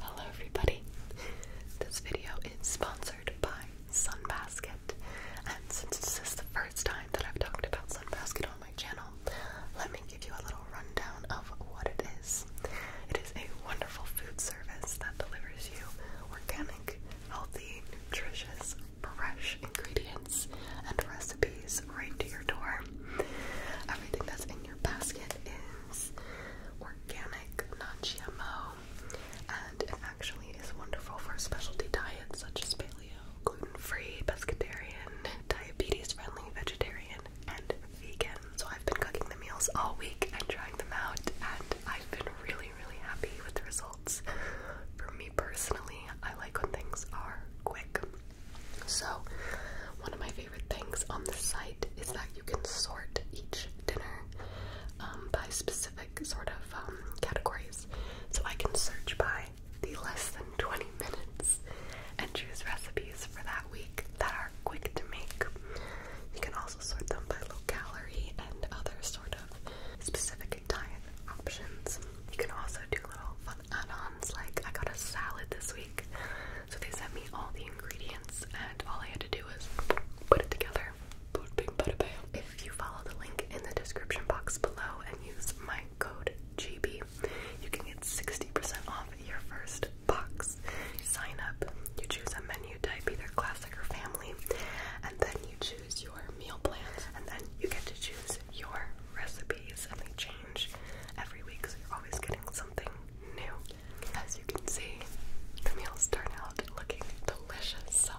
Hello everybody. This video is sponsored by Sunbasket. And since this is the first time that I've talked about Sunbasket on my channel, let me give you a little rundown of what it is. It is a wonderful food service that delivers you organic, healthy, nutritious, fresh ingredients and recipes right to your door. Everything that's in your basket is organic, non-GMO, and it actually is wonderful for specialty diets such as paleo, gluten-free, pescatarian, diabetes-friendly, vegetarian, and vegan. So I've been cooking the meals all week and trying them out, and I've been really, really happy with the results. For me personally, I like when things are quick. So, one of my favorite things on the site is that you can sort each dinner um, by specific sort of um, categories. So I can search by the less than 20 minutes and choose recipes for that week that are quick to make. You can also sort them by low calorie and other sort of specific diet options. You can also do little fun add-ons like I got a salad this week so they sent me all the ingredients and all I had to do was put it together. If you follow the link in the description box below and use my code GB, you can get 60% off your first box. You sign up, you choose a menu type, either classic or family, and then you choose your meal plan, and then you get to choose your recipes, and they change every week, so you're always getting something new. As you can see, the meals turn out looking delicious. So,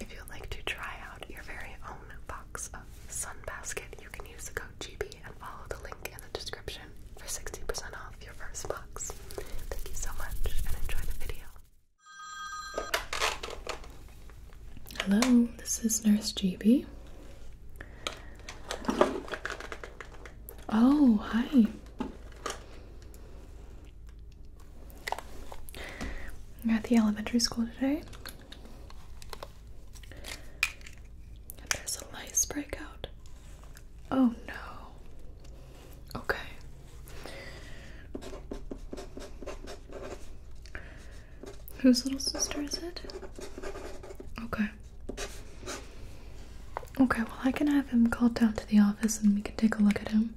if you'd like to try out your very own box of Sunbasket, you can use the code GB and follow the link in the description for 60% off your first box. Thank you so much and enjoy the video. Hello, this is Nurse GB. Oh, hi. You're at the elementary school today. there's a lice breakout. Oh no. Okay. Whose little sister is it? Okay. Okay, well, I can have him called down to the office and we can take a look at him.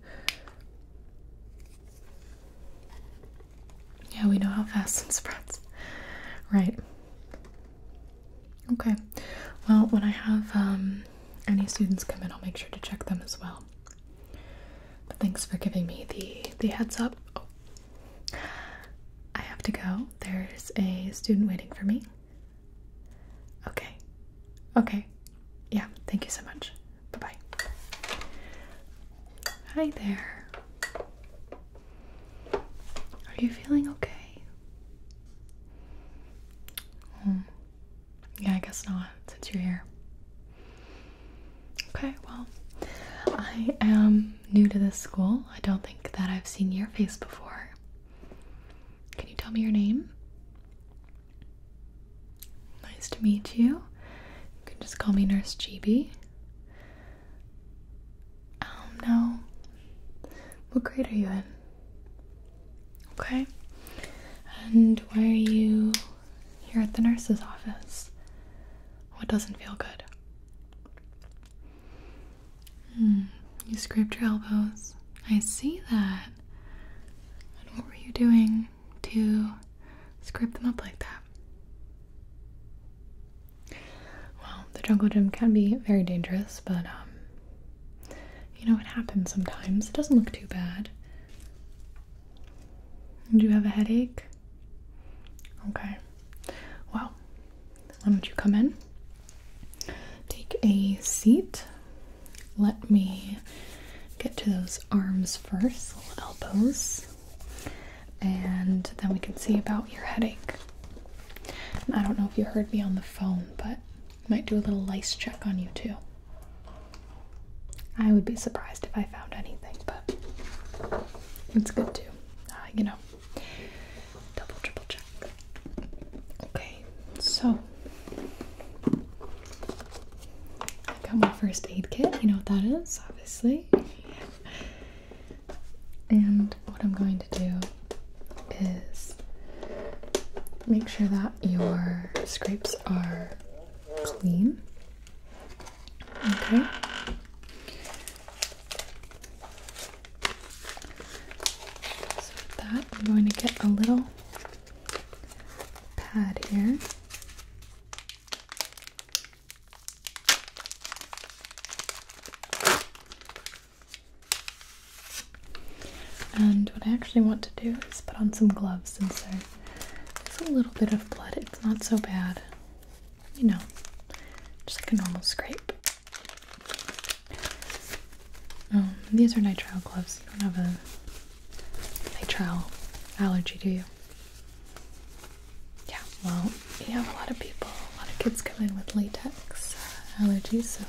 Yeah, we know how fast it spreads. Right. Okay. Well, when I have um, any students come in, I'll make sure to check them as well. thanks for giving me the, the heads up. Oh. I have to go. There's a student waiting for me. Okay. Okay. Yeah, thank you so much. Bye bye. Hi there. Are you feeling okay? Hmm. Yeah, I guess not since you're here. Okay, well, I am new to this school. I don't think that I've seen your face before. Can you tell me your name? Nice to meet you. You can just call me Nurse GB. Um, no. What grade are you in? Okay. And why are you here at the nurse's office? What doesn't feel good? Hmm, you scraped your elbows. I see that. And what were you doing to scrape them up like that? Well, the jungle gym can be very dangerous, but um, you know it happens sometimes. It doesn't look too bad. Do you have a headache? Okay. Well, why don't you come in? Take a seat. Let me get to those arms first, elbows, and then we can see about your headache. I don't know if you heard me on the phone, but might do a little lice check on you too. I would be surprised if I found anything, but it's good too. Uh, you know, double, triple check. Okay, so I got my first aid kit. You know what that is, obviously. And what I'm going to do is make sure that your scrapes are clean. Okay with that, I'm going to get a little pad here. And what I actually want to do is put on some gloves since there is a little bit of blood. It's not so bad. You know, just like a normal scrape. Oh, these are nitrile gloves. You don't have a nitrile allergy, do you? Yeah, well, we have a lot of people, a lot of kids come in with latex uh, allergies, so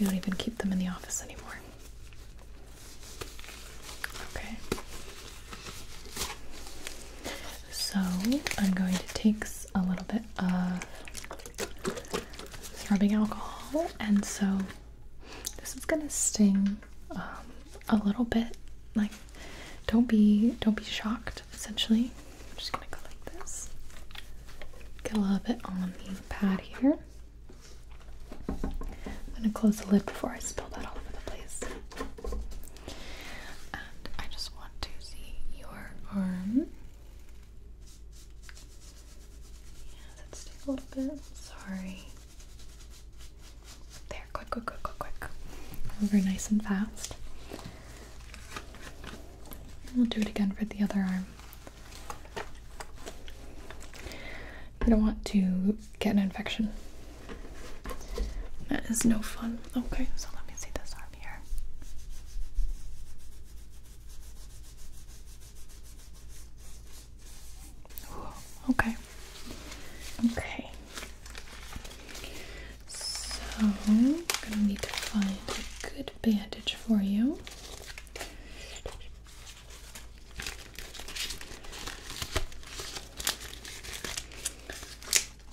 we don't even keep them in the office anymore. Okay. So, I'm going to take a little bit of it's rubbing alcohol, and so this is gonna sting um, a little bit. Like, don't be don't be shocked. Essentially, I'm just gonna go like this. Get a little bit on the pad here. I'm gonna close the lid before I spill that all over the place. And I just want to see your arm. Yeah, that's take a little bit. Sorry. There, quick, quick, quick, quick, quick. Over nice and fast. And we'll do it again for the other arm. You don't want to get an infection. That is no fun. Okay, so let me see this arm here. Okay. Okay. So I'm gonna need to find a good bandage for you.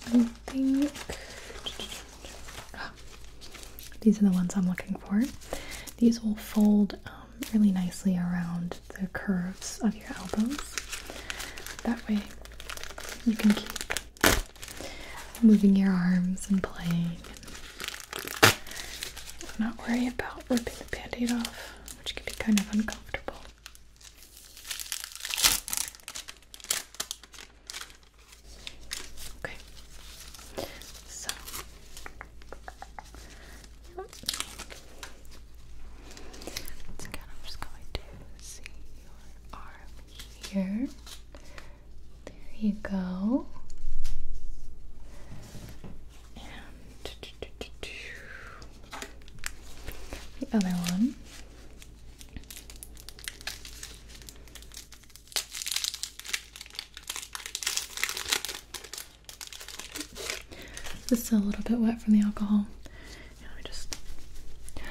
I think these are the ones I'm looking for. These will fold um, really nicely around the curves of your elbows. That way, you can keep moving your arms and playing and not worry about ripping the band aid off, which can be kind of uncomfortable. Okay. So. again, I'm just going to see your arm here. There you go. And the other one. This is a little bit wet from the alcohol. just there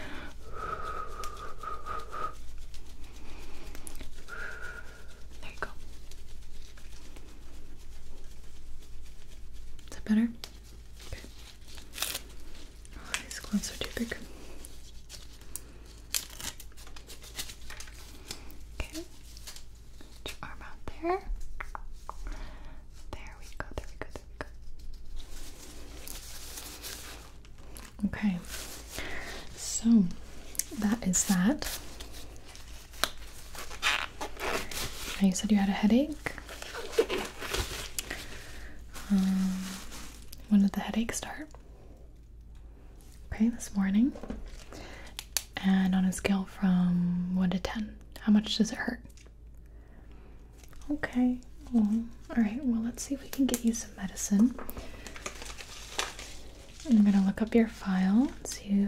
you go. Is that better? Oh, these gloves are too big. Okay. Put your arm out there. There we go, there we go, there we go. Okay, so that is that. you said you had a headache. Um, when did the headache start? okay, this morning. And on a scale from 1 to 10, how much does it hurt? Okay, alright, well, let's see if we can get you some medicine. I'm gonna look up your file and see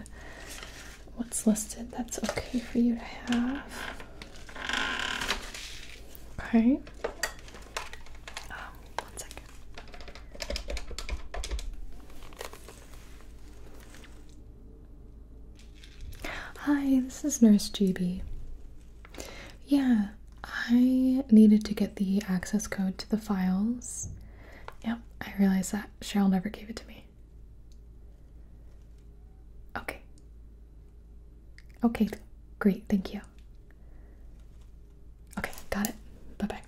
what's listed that's okay for you to have. Okay. Um, one second. Hi, this is Nurse GB. Yeah, I needed to get the access code to the files. Yep, I realized that. Cheryl never gave it to me. Okay. Okay, great, thank you. Okay, got it. Bye bye.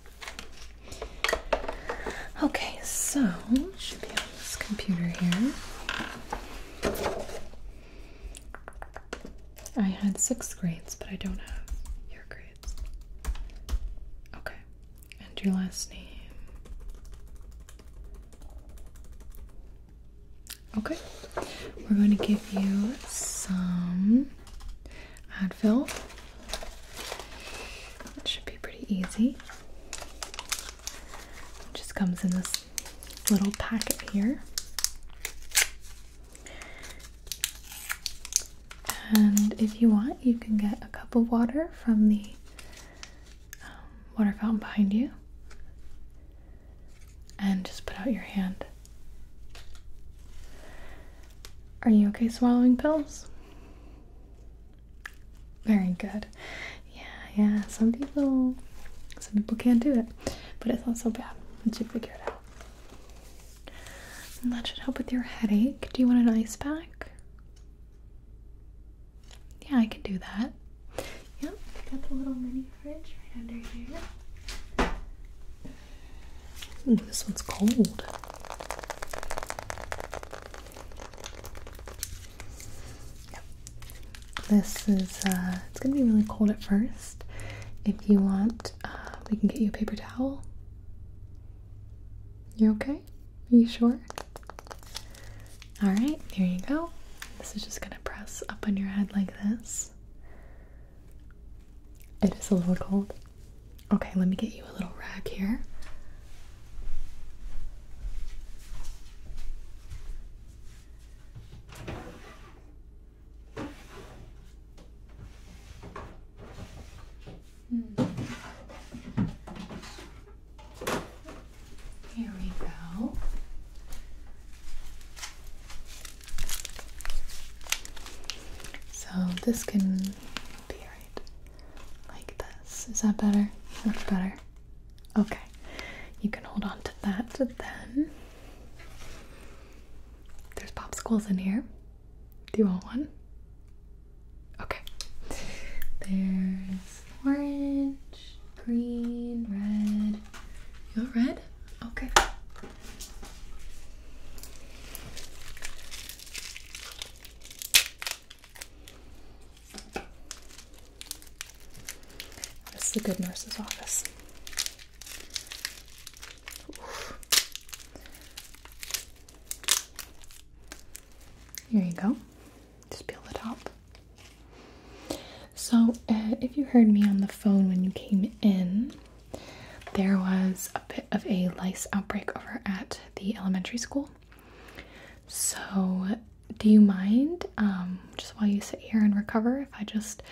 Okay, so should be on this computer here. I had sixth grades, but I don't have your grades. Okay, and your last name. Okay, we're going to give you some Advil. It should be pretty easy. just comes in this little packet here. And if you want, you can get a cup of water from the um, water fountain behind you and just put out your hand. Are you okay swallowing pills? Very good. Yeah, yeah. Some people some people can't do it. But it's not so bad once you figure it out. And that should help with your headache. Do you want an ice pack? Yeah, I can do that. Yep, got the little mini fridge right under here this one's cold. This is, uh, it's gonna be really cold at first. If you want, uh, we can get you a paper towel. You're okay? Are you sure? Alright, here you go. This is just gonna press up on your head like this. It is a little cold. Okay, let me get you a little rag here. Hmm. Here we go. So this can be right like this. Is that better? Much better. Okay. You can hold on to that then. There's popsicles in here. Do you want one? Okay. There's orange, green, red. You want red? Okay. This is the good nurse's office. Oof. Here you go. Just peel the top. So, uh, if you heard me on the phone when you came in, there was a bit of a lice outbreak over at the elementary school. So, do you mind um, just while you sit here and recover if I just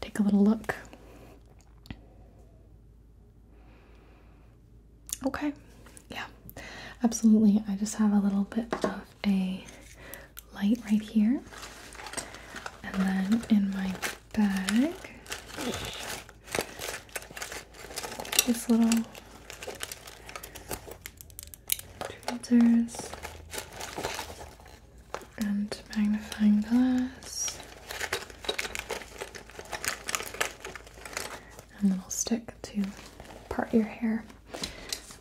take a little look? Okay, yeah, absolutely. I just have a little bit of a light right here, and then in my bag. This little tweezers and magnifying glass and little stick to part your hair.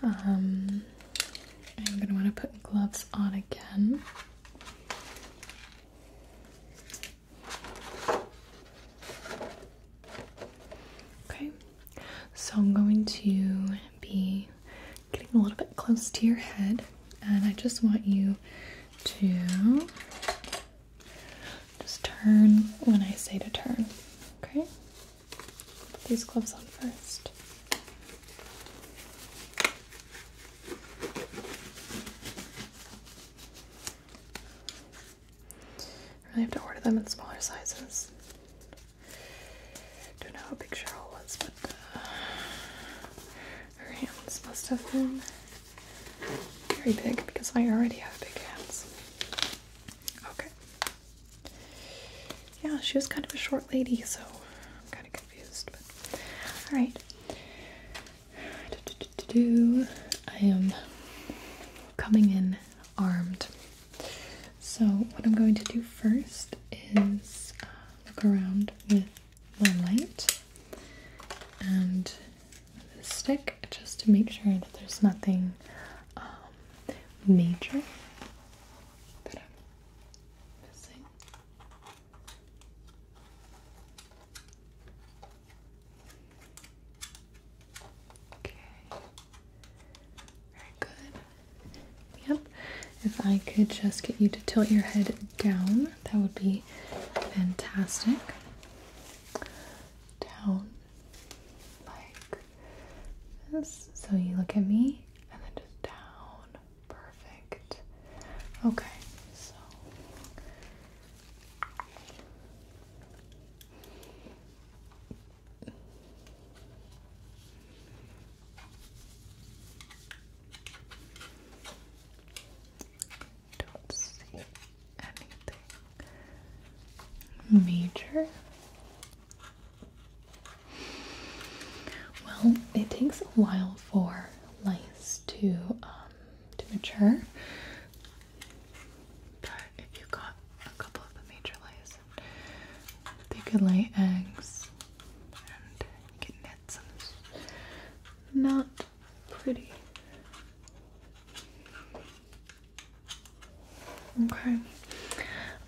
Um, I'm gonna want to put gloves on again. Okay, so I'm going to be getting a little bit close to your head, and I just want you to just turn when I say to turn. Okay, put these gloves on first. I really have to order them in smaller sizes. Don't know how big Cheryl was, but uh, her hands must have been very big because I already have big hands. Okay. Yeah, she was kind of a short lady, so I'm kind of confused. But all right. I am coming in armed. So, what I'm going to do first is uh, look around with my light and the stick just to make sure that there's nothing um, major that I'm missing. Okay. Very good. Yep. If I could just get you to tilt your head down, that would be fantastic. Down like this. So you look at me and then just down. Perfect. Okay, so don't see anything major. Well, it takes a while for lice to uh, to mature. But if you got a couple of the major lice, they could lay eggs and get nits, not pretty. Okay, I'm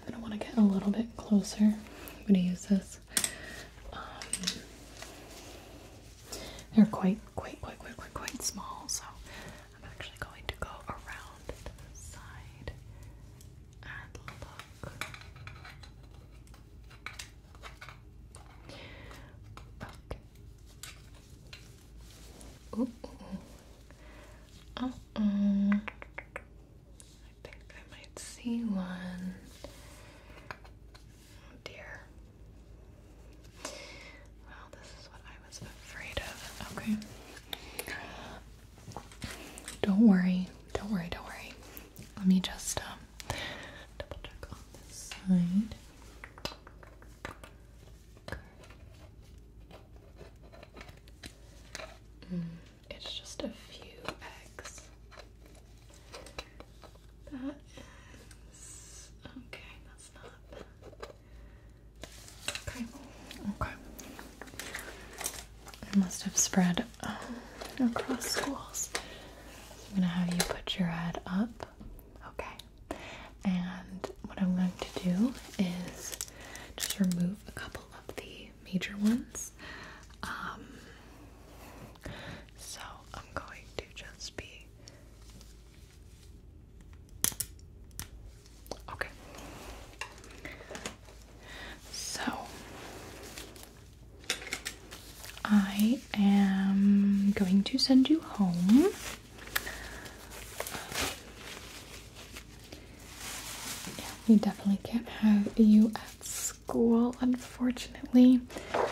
gonna want to get a little bit closer. I'm gonna use this. Um, they're quite, quite, quite, quite, quite, quite small, so I'm actually going to go around to the side and look. Okay. Ooh. Uh -uh. Uh-uh. I think I might see one. Oh dear. Well, this is what I was afraid of. Okay. Don't worry. Don't worry. Don't worry. Let me just um, double check on this side. Mm, it's just a few eggs. That is okay, that's not okay. Okay. It must have spread um, across schools. I'm gonna have you put your head up. Okay. And what I'm going to do is just remove a couple of the major ones. Um, so I'm going to just be. Okay. So I am going to send you home. we definitely can't have you at school, unfortunately. Um,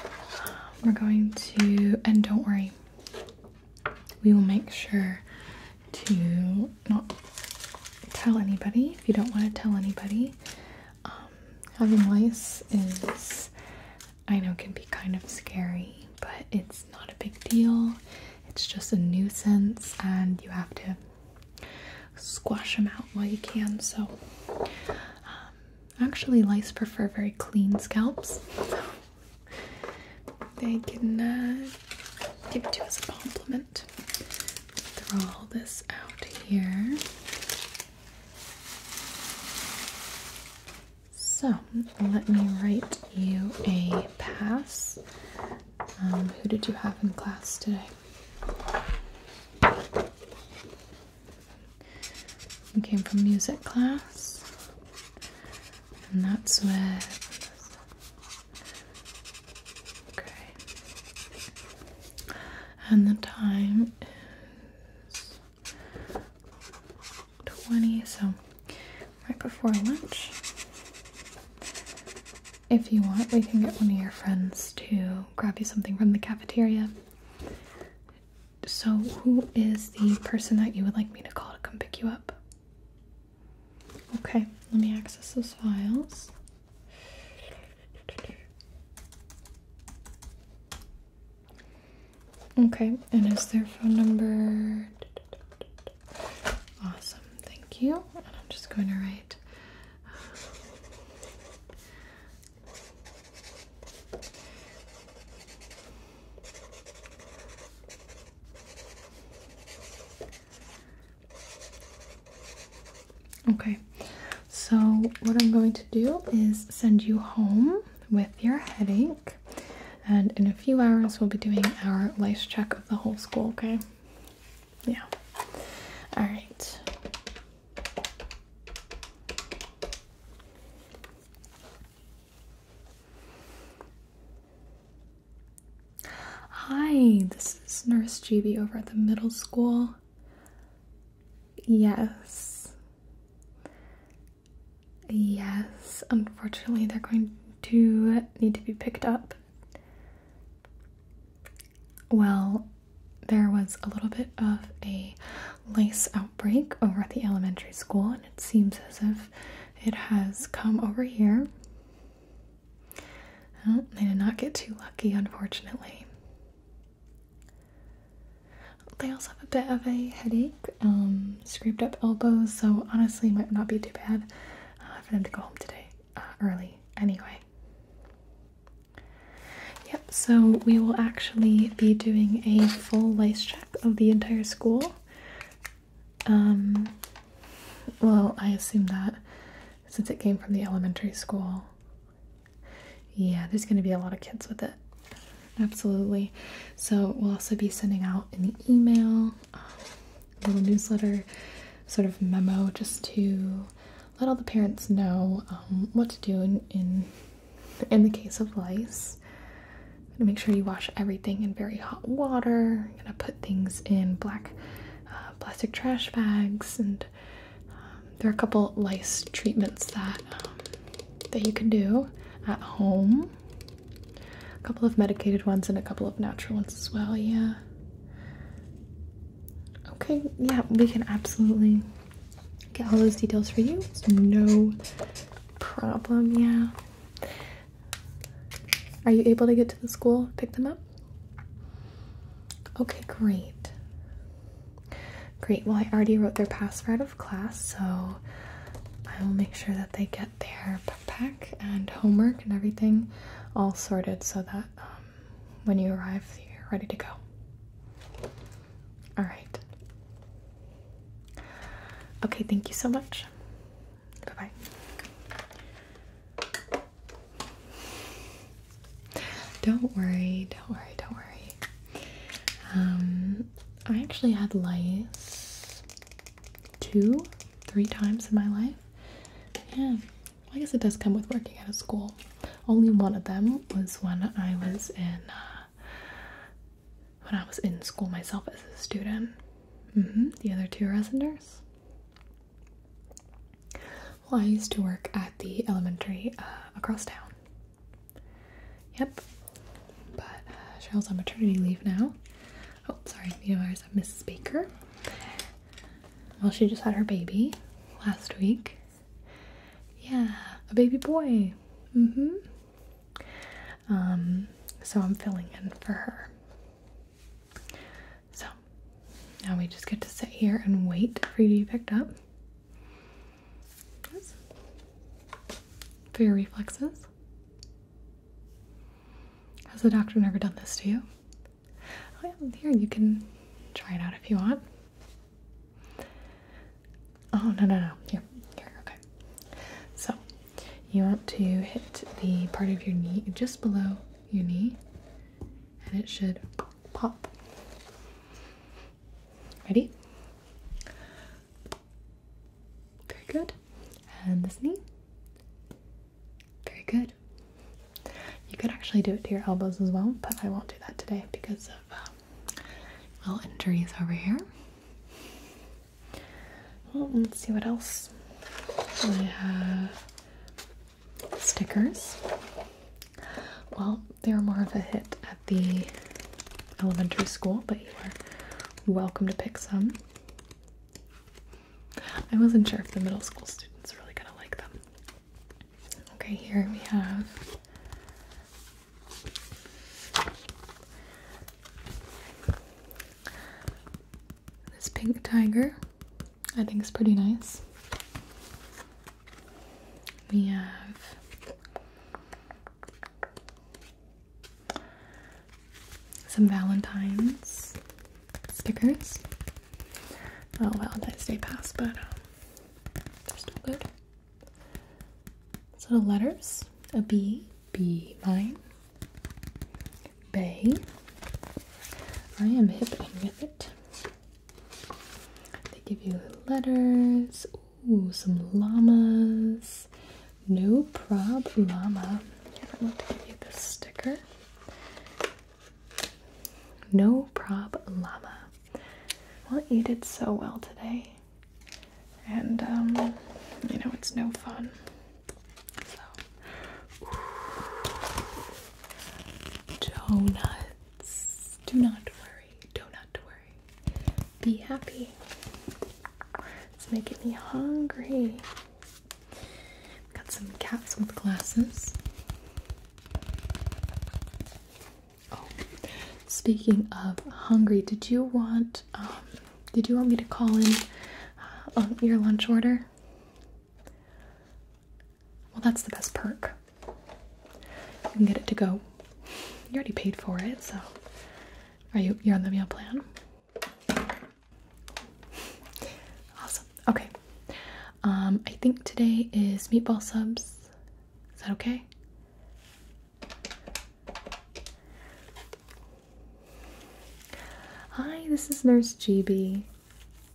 we're going to, and don't worry, we will make sure to not tell anybody if you don't want to tell anybody. Um, having lice is, I know, can be kind of scary, but it's not a big deal. It's just a nuisance, and you have to squash them out while you can. So, um, actually, lice prefer very clean scalps, they can uh, give it to us a compliment. Throw all this out here. So let me write you a pass. Um, who did you have in class today? We came from music class, and that's where. Okay. And the time is 20, so right before lunch. If you want, we can get one of your friends to grab you something from the cafeteria. So, who is the person that you would like me to call to come pick you up? Okay, let me access those files. Okay, and is their phone number? Awesome, thank you. And I'm just going to write Okay, so what I'm going to do is send you home with your headache, and in a few hours, we'll be doing our lice check of the whole school, okay? Yeah. All right. Hi, this is Nurse GB over at the middle school. Yes. Yes, unfortunately, they're going to need to be picked up. Well, there was a little bit of a lice outbreak over at the elementary school, and it seems as if it has come over here. Well, they did not get too lucky, unfortunately. They also have a bit of a headache, um, scraped up elbows, so honestly, might not be too bad uh, for them to go home today uh, early anyway. Yep, so we will actually be doing a full lace check of the entire school. Um, well, I assume that since it came from the elementary school, yeah, there's going to be a lot of kids with it. Absolutely. So, we'll also be sending out in the email, um, little newsletter, sort of memo just to let all the parents know um, what to do in, in in the case of lice. make sure you wash everything in very hot water. I'm gonna put things in black uh, plastic trash bags, and um, there are a couple lice treatments that um, that you can do at home. A couple of medicated ones and a couple of natural ones as well. Yeah. Okay. Yeah, we can absolutely get all those details for you. no problem, yeah. Are you able to get to the school, pick them up? Okay, great. Great, well, I already wrote their password out of class, so I will make sure that they get their backpack and homework and everything all sorted so that um, when you arrive, you're ready to go. All right. Okay, thank you so much. Bye bye. Don't worry, don't worry, don't worry. Um, I actually had lice two, three times in my life. Yeah, I guess it does come with working at a school. Only one of them was when I was in uh, when I was in school myself as a student. Mm-hmm, the other two are as a nurse. Well, I used to work at the elementary uh, across town. Yep. But uh, Cheryl's on maternity leave now. Oh, sorry. You know, there's a Mrs. Baker. Well, she just had her baby last week. Yeah, a baby boy. Mm-hmm. Um, so I'm filling in for her. So now we just get to sit here and wait for you to be picked up. For your reflexes. Has the doctor never done this to you? Oh yeah, here you can try it out if you want. Oh no no no! Here, here, okay. So you want to hit the part of your knee just below your knee, and it should pop. Ready? Very good. And this knee. Very good. You could actually do it to your elbows as well, but I won't do that today because of um, little injuries over here. let's see what else. We have stickers. Well, they were more of a hit at the elementary school, but you are welcome to pick some. I wasn't sure if the middle school students really gonna like them. Okay, here we have this pink tiger, I think, is pretty nice. We have some Valentine's stickers. Oh Well, Valentine's Day passed, but um, they're still good. So the letters a B, B mine, Bay. I am hip and with it. They give you letters. Ooh, some llamas. No prob llama. I want to give you this sticker. No prob llama. Well, you did so well today and um, you know it's no fun. donuts. Do not worry. Do not worry. Be happy. It's making me hungry. Got some cats with glasses. Oh, speaking of hungry, did you want um, did you want me to call in uh, your lunch order? Well, that's the best perk. You can get it to go. You already paid for it, so are you you're on the meal plan? Awesome. Okay. Um, I think today is meatball subs. Is that okay? Hi, this is Nurse GB.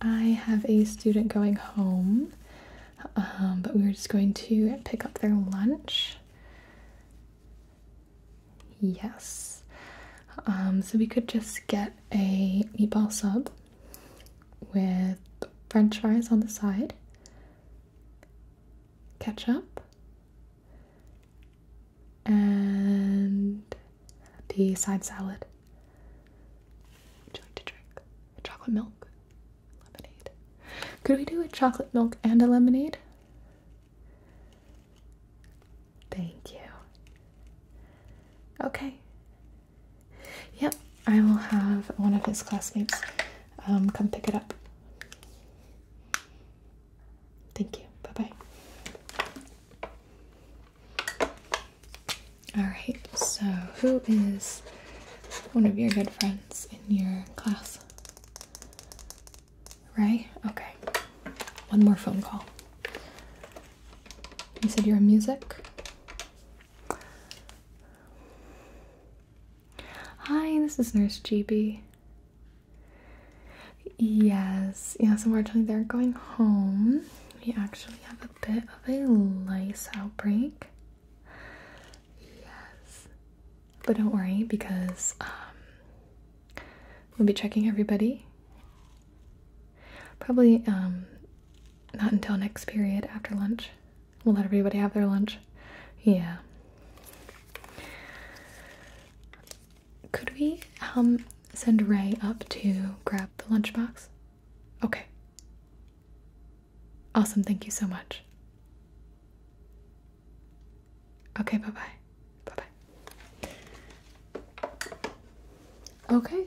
I have a student going home, um, but we were just going to pick up their lunch. Yes. Um, so we could just get a meatball sub with french fries on the side ketchup and the side salad. Would you like to drink chocolate milk? Lemonade. Could we do a chocolate milk and a lemonade? Thank you. Okay. Yep, I will have one of his classmates um, come pick it up. Thank you. Bye bye. Alright, so who is one of your good friends in your class? Ray? Okay. One more phone call. You said you're in music? Hi, this is Nurse GB. Yes, yes, unfortunately they're going home. We actually have a bit of a lice outbreak. Yes. But don't worry because um, we'll be checking everybody. Probably um, not until next period after lunch. We'll let everybody have their lunch. Yeah. Could we um send Ray up to grab the lunchbox? Okay. Awesome, thank you so much. Okay, bye bye. Bye bye. Okay,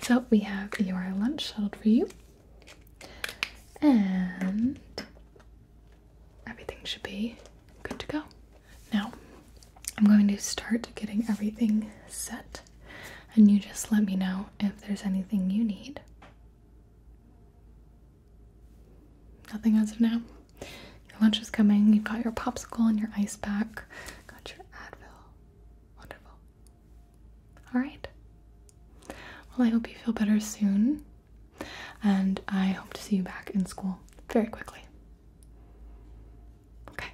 so we have your lunch settled for you and everything should be good to go. Now, I'm going to start getting everything set, and you just let me know if there's anything you need. Nothing as of now. Your lunch is coming. You've got your popsicle and your ice pack. Got your Advil. Wonderful. All right. Well, I hope you feel better soon, and I hope to see you back in school very quickly. Okay.